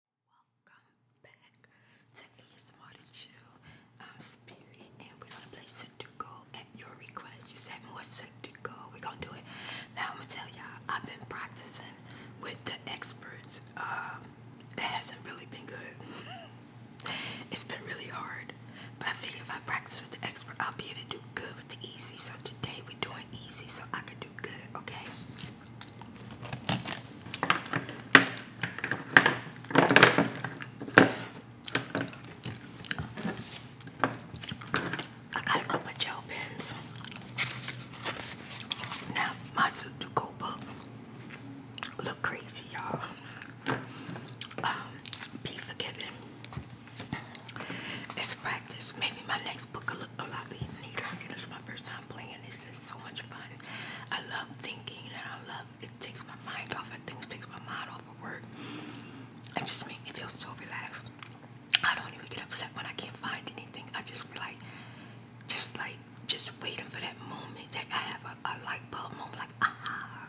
Welcome back to ASMR to Chill. I'm Spirit, and we're gonna play Sudoku at your request. You said more Sudoku. We're gonna do it. Now I'm gonna tell y'all, I've been practicing with the experts. Uh, it hasn't really been good. it's been really hard, but I figure if I practice with the expert, I'll be able to do good with the easy. So today we're doing easy, so I can do good, okay? I got a couple of gel pens. Now my Sudoku book look crazy, y'all. Um, be forgiven. It's practice. Maybe my next book will look a lot neater. You know, my first time playing this. is so much fun. I love thinking and I love it takes my mind off of things, takes my mind off of work. It just makes me feel so relaxed. I don't even get upset when I can't find anything. I just be like, just like, just waiting for that moment that I have a, a light bulb moment, like, aha.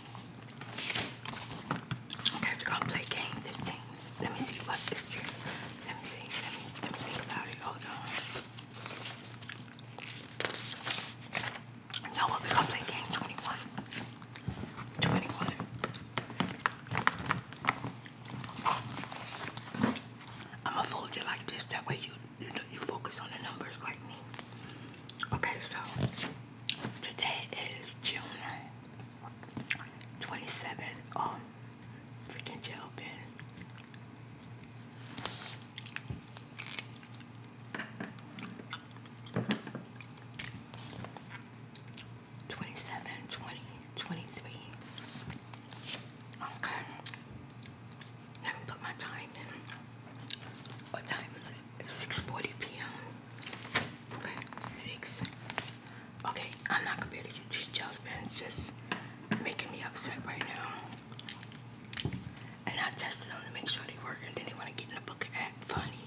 Okay, we're gonna play game 15. Let me see what is here. Let me see. Let me think about it. Hold on. No, we're gonna play game 21. 21. I'ma fold you like this. That way you, you focus on the numbers like me. Okay, so Today is June 27th. Oh, freaking gel pen. Twenty-seven, twenty, twenty-three. Okay. Now I put my time in. What time is it? 6.40 p.m. Okay, 6. Okay, I'm not gonna be able to use these gels pens. Just making me upset right now. And I tested them to make sure they work. And they want to get in the book and funny.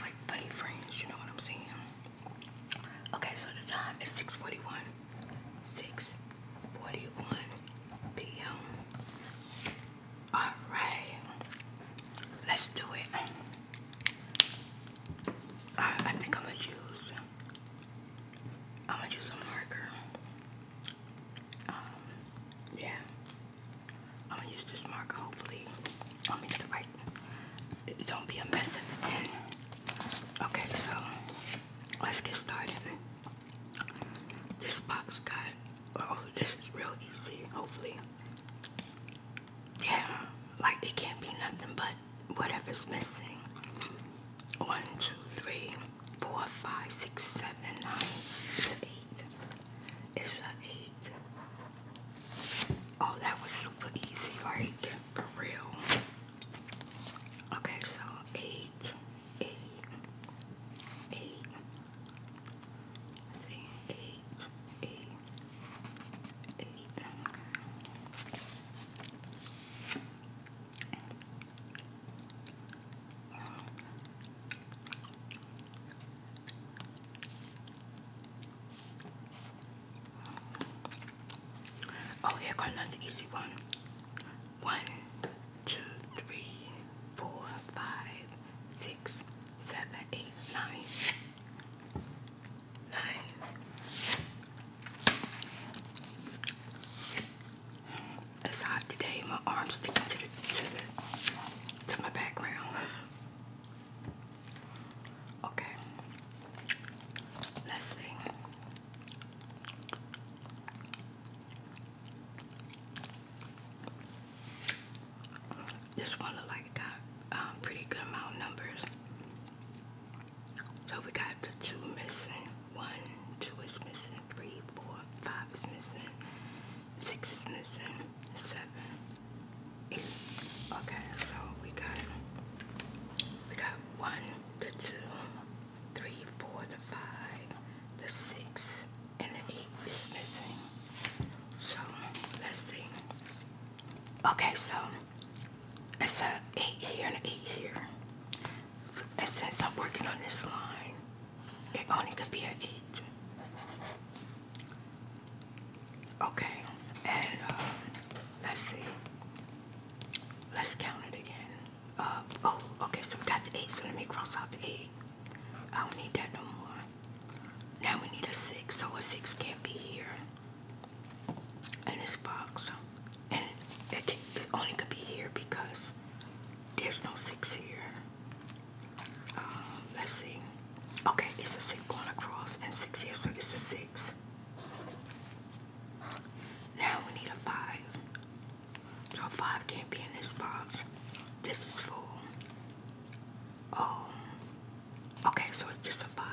Like funny friends, you know what I'm saying? Okay, so the time is 6.41. 6.41 p.m. All right, let's do it. I, I think I'm gonna use. I'm gonna use a marker. Um, yeah, I'm gonna use this marker. Hopefully, I'll make the right. don't be a mess Okay, so let's get started. This box got. Oh, this is real easy. Hopefully, yeah, like it can't be nothing but whatever's missing. One, two, three, four, five, six, seven, nine. It's an eight. It's an eight. Oh, that was super easy, right? For real. Okay, so eight, eight, eight see, eight, eight, eight. Oh, here goes an easy one. One, two, three, four, five, six, seven, eight, nine, nine. It's hot today. My arms sticking to the to my background. Okay, let's see. This one look like got um, pretty good amount numbers. So we got the two missing. One, two is missing. Three, four, five is missing. Six is missing. Seven, eight. Okay, so we got we got one, the two, three, four, the five, the six, and the eight is missing. So let's see. Okay, so it's an eight here and an eight here. So, and since I'm working on this line, it only could be an eight. Okay, and uh, let's see. Let's count it again. Uh, oh, okay, so we got the eight, so let me cross out the eight. I don't need that no more. Now we need a six, so a six can't be here in this box. And it, can, it only could be here because there's no six here. Um, let's see. Okay, it's a six going across and six here, so it's a six. Now we need a five. So five can't be in this box. This is full. Oh, okay, so it's just a five,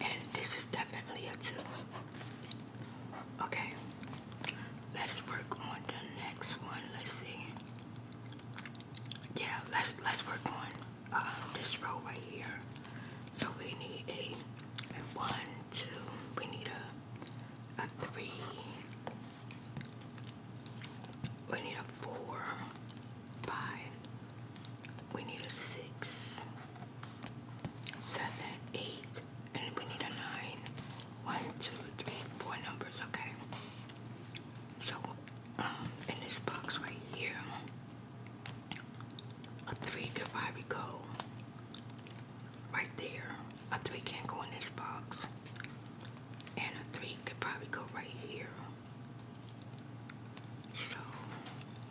and this is definitely a two. Okay, let's work on the next one. Let's see. Yeah, let's let's work on uh, this row right here. So we need a one, two. We need a a three, we need a four, five, we need a six, seven, eight, and we need a nine. One, two, three, four numbers, okay? So, um, in this box right here, a three could probably go right there. A three can't go in this box. And a three could probably go right here. So,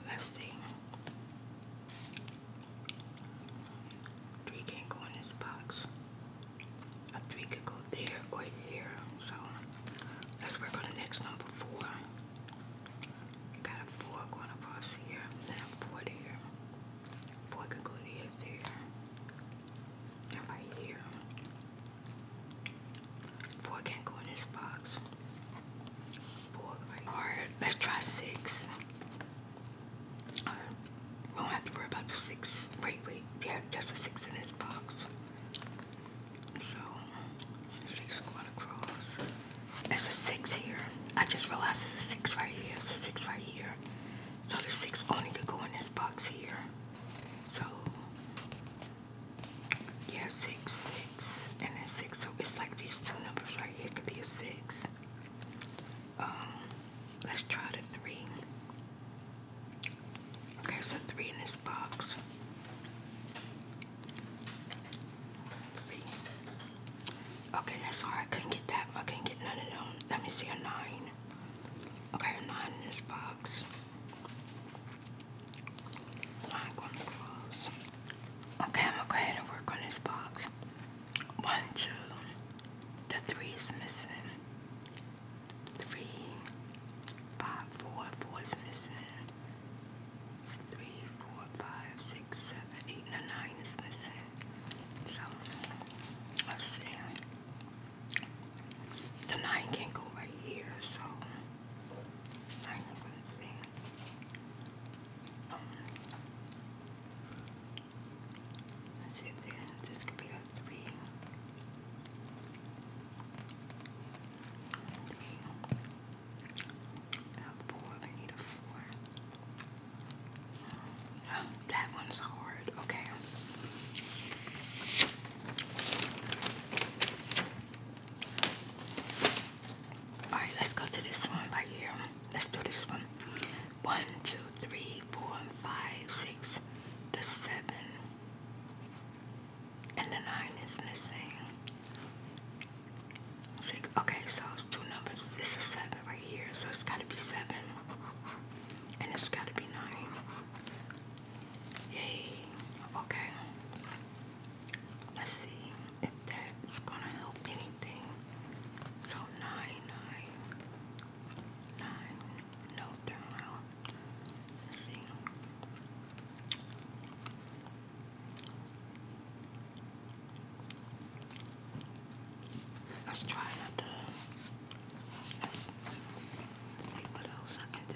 let's see. Three can't go in this box. A three could go there or here. So, let's work on the next number four. got a four going across here, then a four there. Four can go there, there. And right here. Four can't go in this box. Four right Alright, let's try six. Uh, don't have to worry about the six. Wait, wait. Yeah, just a six in this box. So, six going across. It's a six here. I just realized it's a six right here. It's a six right here. So the six only could go in this box here. So yeah, six, six, and then six. So it's like these two numbers right here could be a six. Um, let's try the three. Okay, so three in this box. Three. Okay, that's all. I couldn't get that. I couldn't get none of them. Let me see a nine. Okay, not in this Not going to cross. Okay, I'm gonna go ahead and work on this box. One, two, the three is missing. Three, five, four, four is missing. Three, four, five, six, seven, eight, is missing. So, let's see. The nine can can't go right here, so i I'm gonna see. Um, let's see if this could be a three. Three. A four. I need a four that one's hard. Okay. All right, let's go to this one right here. Let's do this one. One, two, three, four, five, six, the seven, and the nine is missing. Six. Okay, so it's two numbers. This is seven right here, so it's got to be seven and it's got to be nine. Yay. Okay. Let's see if that's going to help anything. So nine, nine, nine, no turn Let's see. Let's try not Let's see what else I can do.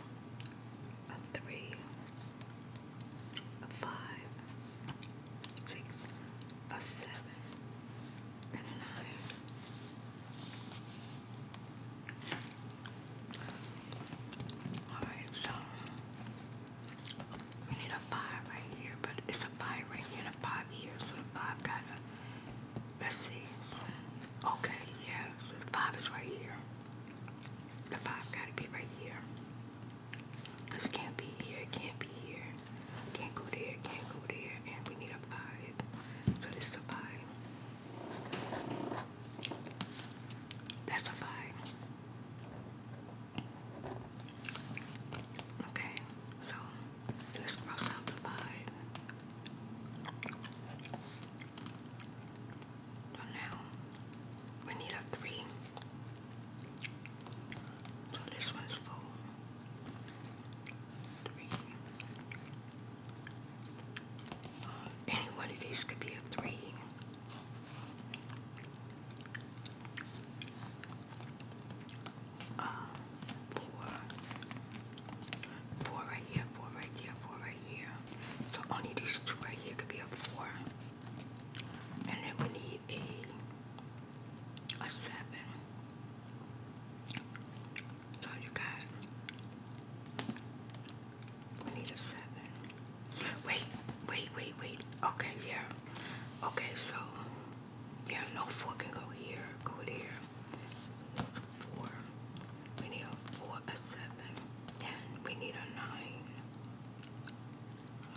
a three, a five, six, a seven, and a nine. Alright, so we need a five right here, but it's a five right here a five here, so the five gotta Let's see. Okay, yeah, so the five is right here. The five gotta be right here. Cause it can't be here, it can't be here. Can't go there, can't go there, and we need a five. So this a five. That's a five. Okay, so let's cross out the five. So now we need a three. So this one's full. Three. Uh, any one of these could be a three. Uh, four, Four right here, four right here, four right here. So only these two right here could be a four. And then we need a a seven. So you got we need a seven. Wait, wait, wait, wait. Okay, yeah. Okay, so yeah, no four can go here, go there four. We need a four, a seven, and we need a nine.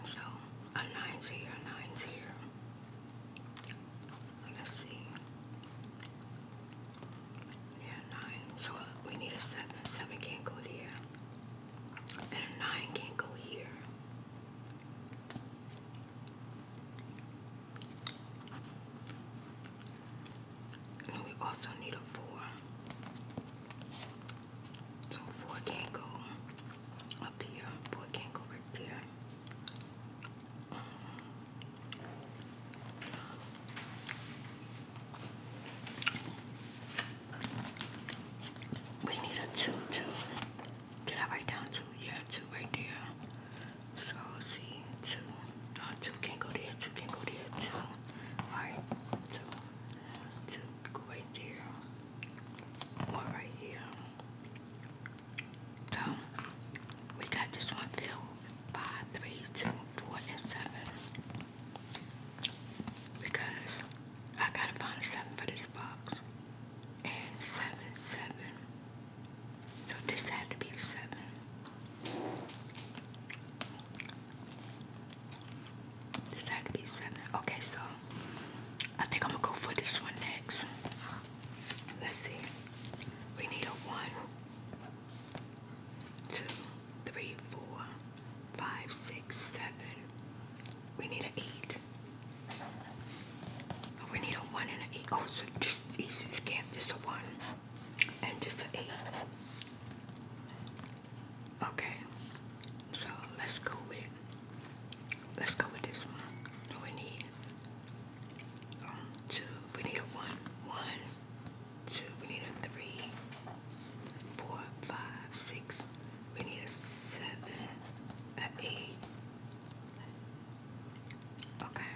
So a nine's here, nine's here. Let's see. Yeah, nine. So uh, we need a seven. Seven can't go there. And a nine can't go here. And we also need a four. So four can't go up here. Four can't go right there. we need a two, two. Did I write down two? Yeah, two right there. So see two. two can go there, two can go there, two. Alright, two. Two go right there. One right here. So we got this one filled. Five, three, two, four, and seven. Because I gotta find a seven for this box. And seven, seven. So this had to be the seven. This had to be seven. Okay, so I think I'm gonna go for this one next. Let's see. We need a one, two, three, four, five, six, seven. We need an eight. We need a one and an eight. Oh, so this, this, this can this a one and just an eight. Okay, so let's go with let's go with this one. We need um, two. We need a one, one, two. We need a three, four, five, six. We need a seven, an eight, Okay,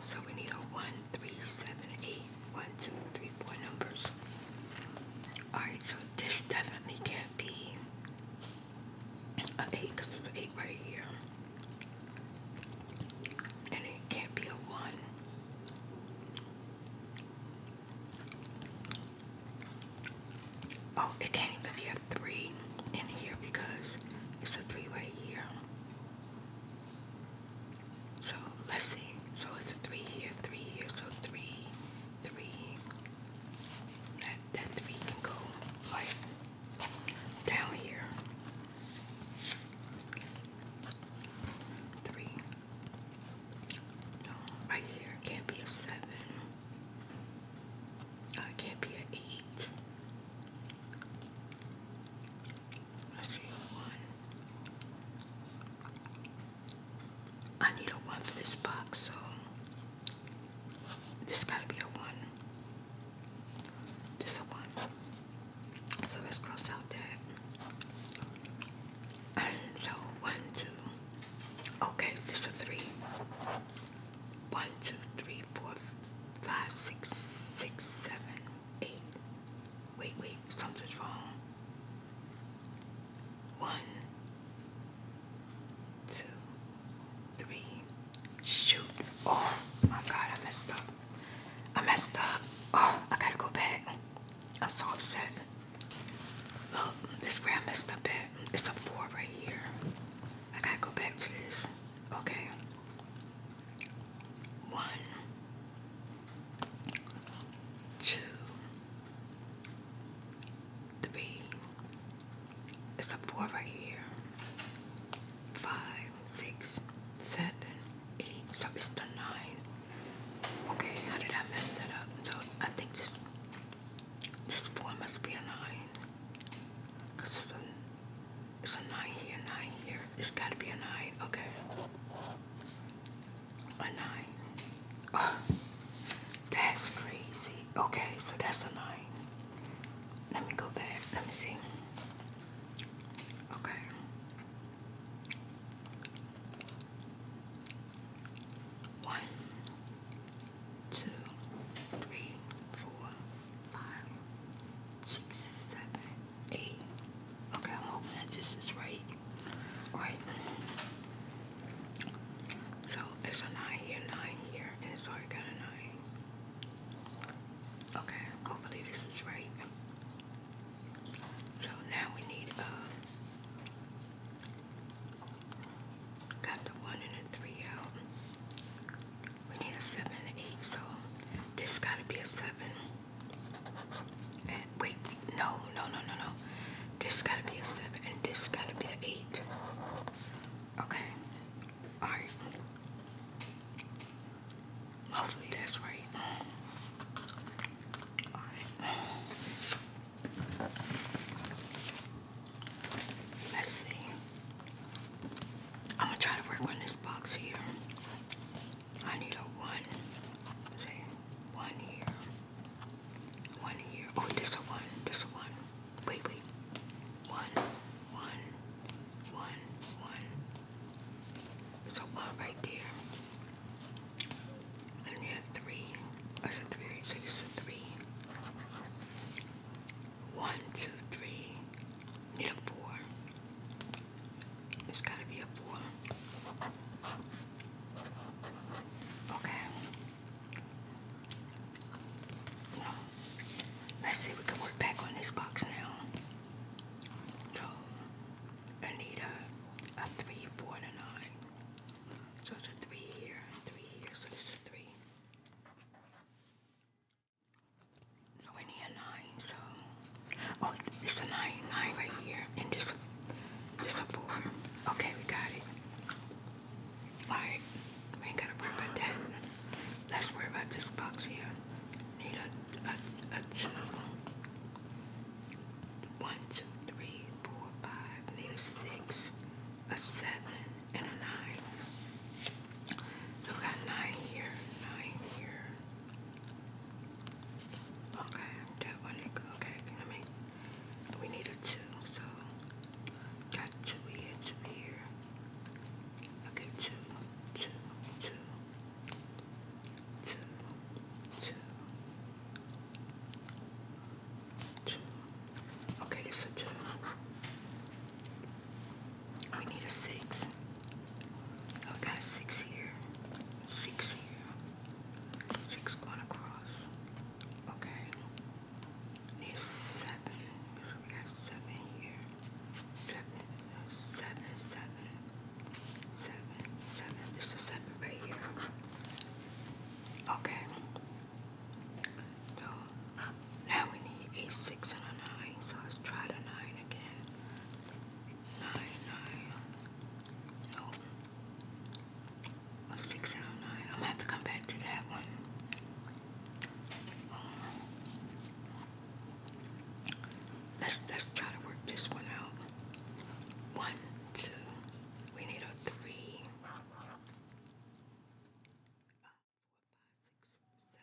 so we need a one, three, seven, eight, one, two, three, four numbers. Alright, so this definitely can't be an eight because it's an eight right here. And it can't be a one. Oh, it can't even be a three in here because it's a three right here. So let's see. So it's a three here, three here. So three, three. That that three can go like down here. Three. No, right here can't be a seven. Uh, can't be a eight. I see one. I need a one for this box, so this gotta be a one. This a one. So let's cross out that. And so one, two. Okay, this a three. One, two, three, four, five, six, six, seven eight. Wait, wait, something's wrong. One, two, three. Shoot. Oh my god, I messed up. I messed up. Oh, I gotta go back. I'm so upset. Look, this is where I messed up at. It's a four right here. I gotta go back to this. Okay. One, two, three. It's a four right here. Five, six, seven, eight. So it's the nine. Okay, how did I mess that up? So I think this this four must be a nine. Cause it's a it's a nine here, nine here. It's got to be a nine. Okay. A nine. Ah, that's crazy. Okay, so that's a nine. Let me go back. Let me see. Okay. One, two, three, four, five, six, seven, eight. Okay, I'm hoping that this is right. All right. So it's a nine here, nine here, and it's already got a nine. Okay, hopefully this is right. So now we need Uh, Got the one and a three out. We need a seven and an eight, so this gotta be a seven. And wait, no, no, no, no, no. This gotta be a seven, and this gotta be an eight. Okay, all right. Hopefully that's right. All right. Let's see. I'm gonna try to work on this box here. I need a one. one here. One here. Oh, this a one. This a one. Wait, wait. One, one, one, one. It's a one right there. And you three. That's a three. So this three. One, two, three. Need a four. It's gotta be a four. Okay. Let's see if we can work back on this box now. So I need a, a three, four, and a nine. So it's a three here, three here, so this a three. So we need a nine. So oh, it's a nine, nine right here, and this, this a four. Okay, we got it. All right, we ain't gotta worry about that. Let's worry about this box here. Need a, a, a two. One, two, Need a six, a seven, and a nine. So we got nine here, nine here. Okay, that Okay, I mean, we need a two, so got two here, two here. Okay, two, two, two, two, two, two. Okay, this a two. We need a six. got a six here. Six here. Six going across. Okay. Need a seven. So we got seven here. Seven, seven, seven, seven, seven. This is seven right here. Okay. So now we need a six and a nine, so let's try the nine again. Nine, nine. No. Oh. six and a nine. I'm gonna have to come back to that one. Um, let's let's try to work this one out. One, two. We need a three four, oh,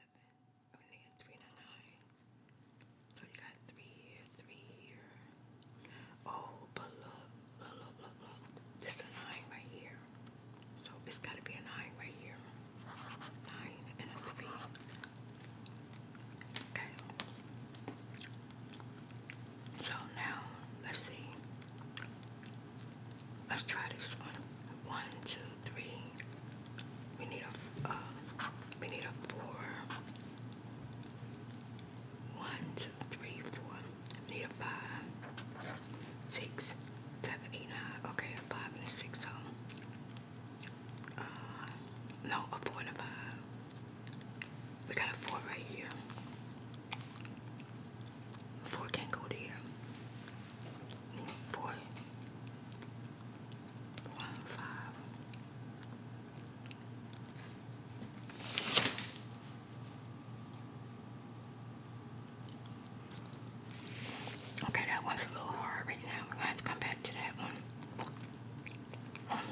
So you got three here, three here. Oh, but look, look, look, look, look. This is nine right here. So it's gotta be a nine right here. Nine and a three. Okay. So now let's see. Let's try this one. One, two, three. We need a uh, we need a four. One, two, three, four. We need a five, six, seven, eight, nine. Okay, five and six. So, uh, no, a four and five. We got a four right here. Four can't go here four, one, five. Okay, that one's a little hard right now. We're come back to that one. let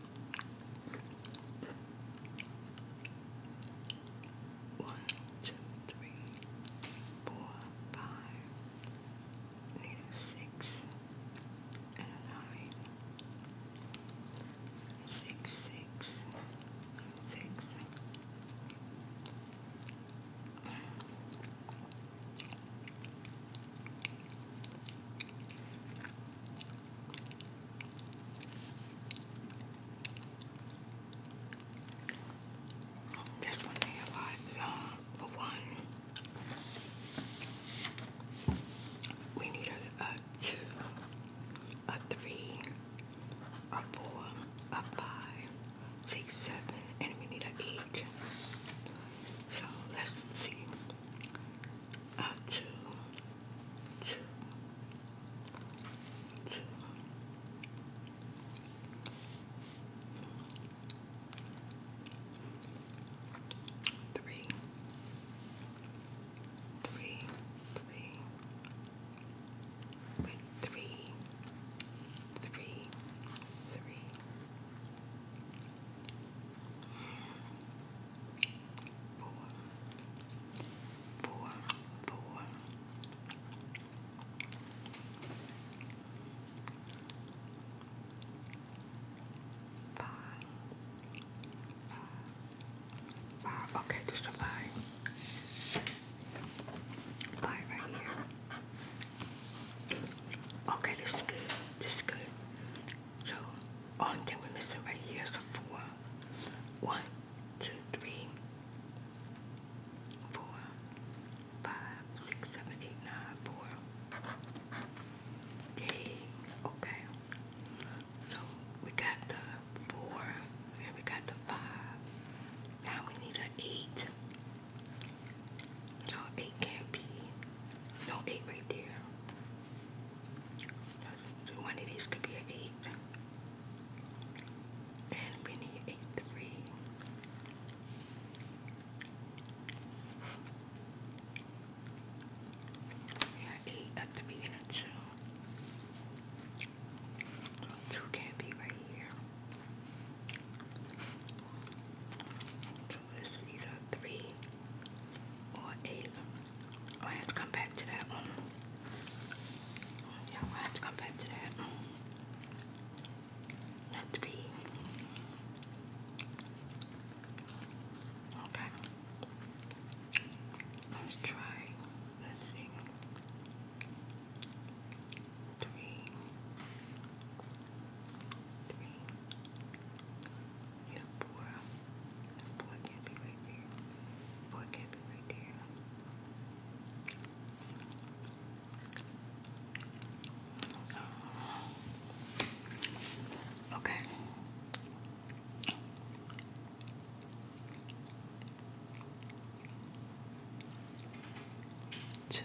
One, two, three, four, five, need and nine. Six, six, six. This one they have like for uh, one. We need a two, a three, a four, a five, six, seven, and we need an eight. So let's see uh, two, two, two. wait, three, three, three, Four, four, four. Five, five, five. Okay, just a five. Five right here. Okay, this is good. This is good. So, Only thing we're missing right here. a four. One, two, three, four, five, six, seven, eight, nine, four. Okay. So we got the four and we got the five. Now we need an eight. So eight can't be no, eight right there. One of these could be an eight. And we need a three. Yeah, eight at the beginning of 2 Two can't be right here is either three or eight. Oh, I have to come back to that one. Yeah, I have to come back to that. Not three. Okay. Let's try. Let's see. Three. Three. Yeah, boy. boy can't be right there. Boy can't be right there. Okay. two,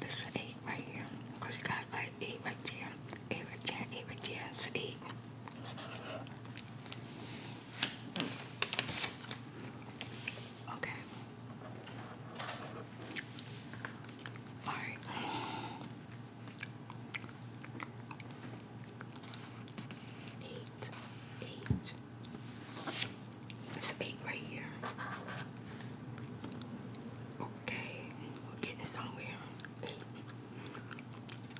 This is eight right here. Because you got like eight right here, Eight right here, eight right here, eight. Okay. Alright. Eight. Eight. It's eight right here. Okay, we're getting somewhere. let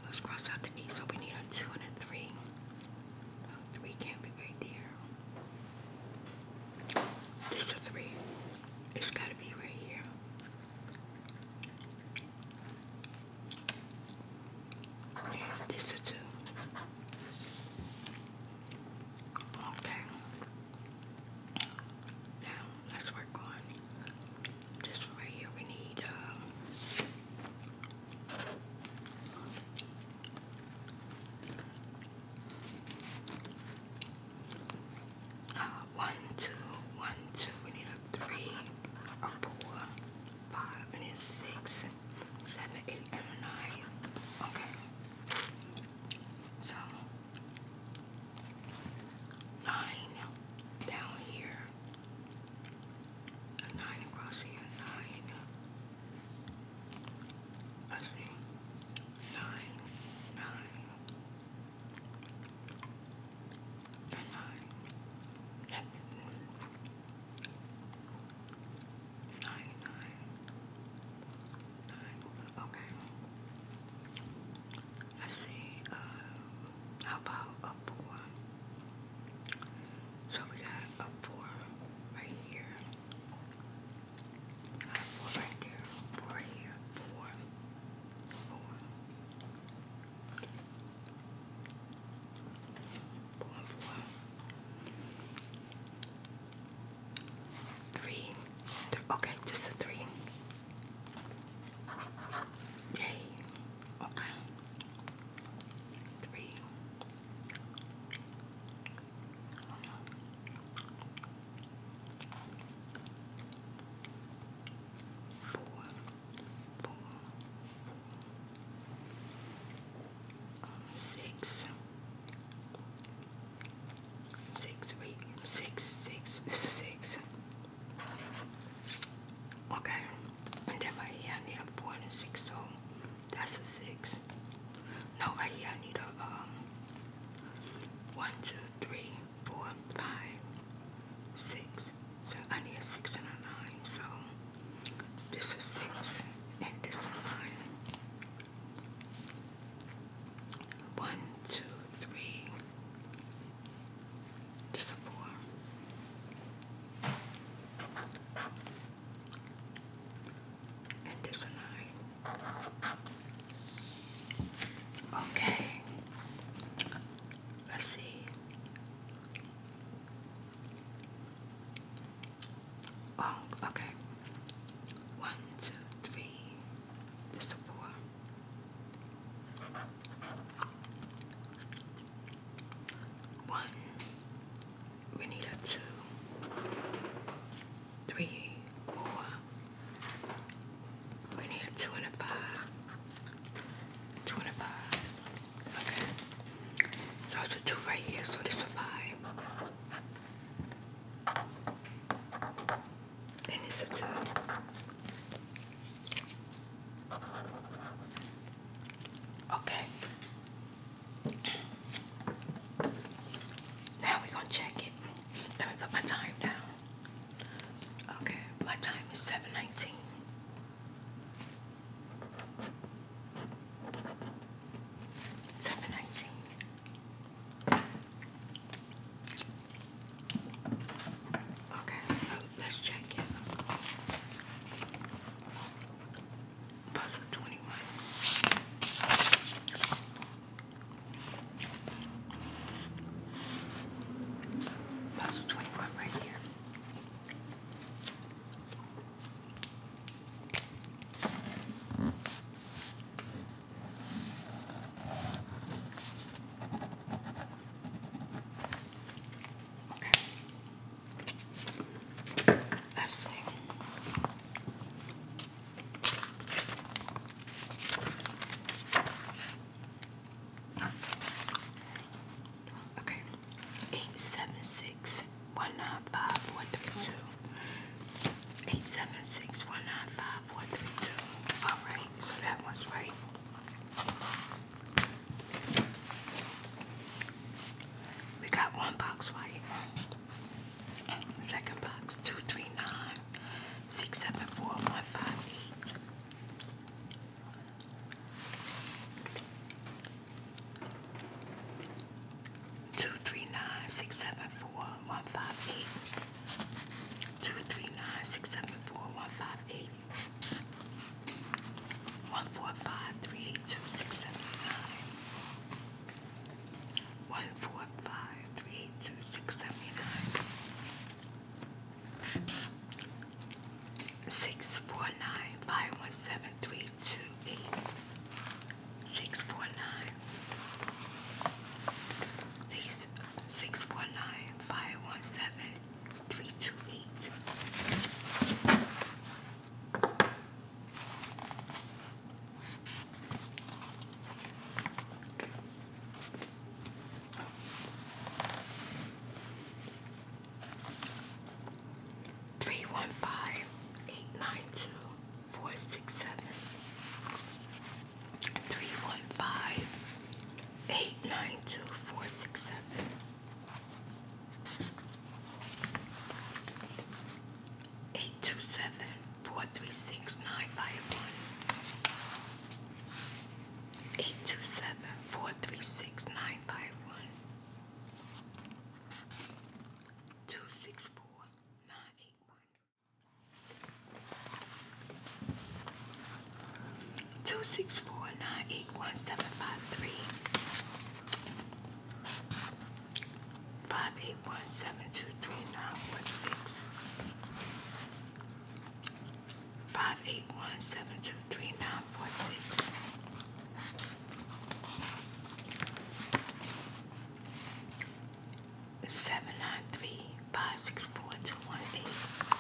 Let's cross out the eight. So we need a two and a three. A three can't be right there. This a three. It's gotta be right here. this a two. Okay. Now let's work on this right here. We need um, uh, one, two, one, two. We need a three, a four, five, and a six, seven, eight, and a nine. Okay. So nine down here, nine across here, nine. I see nine, Okay. Let's see. Uh, how about a four? So we got a four right here. four right there. Four here. Four. Four. Four. Three. okay, just a three. Yay. Okay. Three. Um, Six, wait, six, six. This is six. Okay. And then right here I need a four and a six, so that's a six. No, right here I need a um one, two, three, four, five, six. So I need a six and a nine. So this is six and this is nine. One, two, three. And this a nine. Okay. Let's see. Oh, okay. One, two, three. This is four. One. We need a two. We need a two and a five. Two and a five. Okay. So it's a two right here, so this a five. And it's a Okay. Now we gonna check it. Let me put my time down. Okay, my time is 719. Seven nineteen. Okay, so let's check it. Puzzle 21. Puzzle 21 right here. Okay. let Okay. Eight seven six one nine five one three two eight seven six one nine five four three two. All right, so that one's right. We got one box right. Second box two three nine six seven four one five eight. Two three nine six seven four one five eight. Two three nine six seven four one five eight. One four five three eight two six seven nine. One four five three eight two six seventy nine. Six four nine five one seven three two eight six four nine. These six four nine five one seven three two eight. Three one five eight nine two four six seven three one five eight nine two four six seven. Eight two seven four three six nine five one. Eight two seven four three six nine five one. Two six four nine eight one. Two six four nine eight one seven five three five eight one seven two three nine one six five eight one seven two three nine four six seven nine three five six four two one eight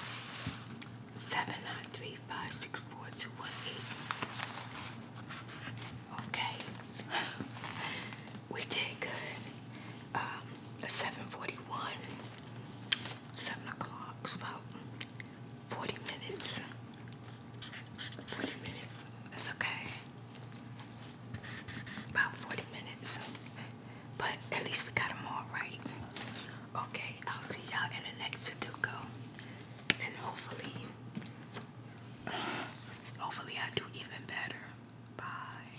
seven nine three five six four two one eight. Okay, we did good. Um, seven forty one, seven o'clock, about forty minutes. Forty minutes. That's okay. About 40 minutes. But at least we got all right. Okay, I'll see y'all in the next Sudoku. And hopefully, hopefully I do even better. Bye.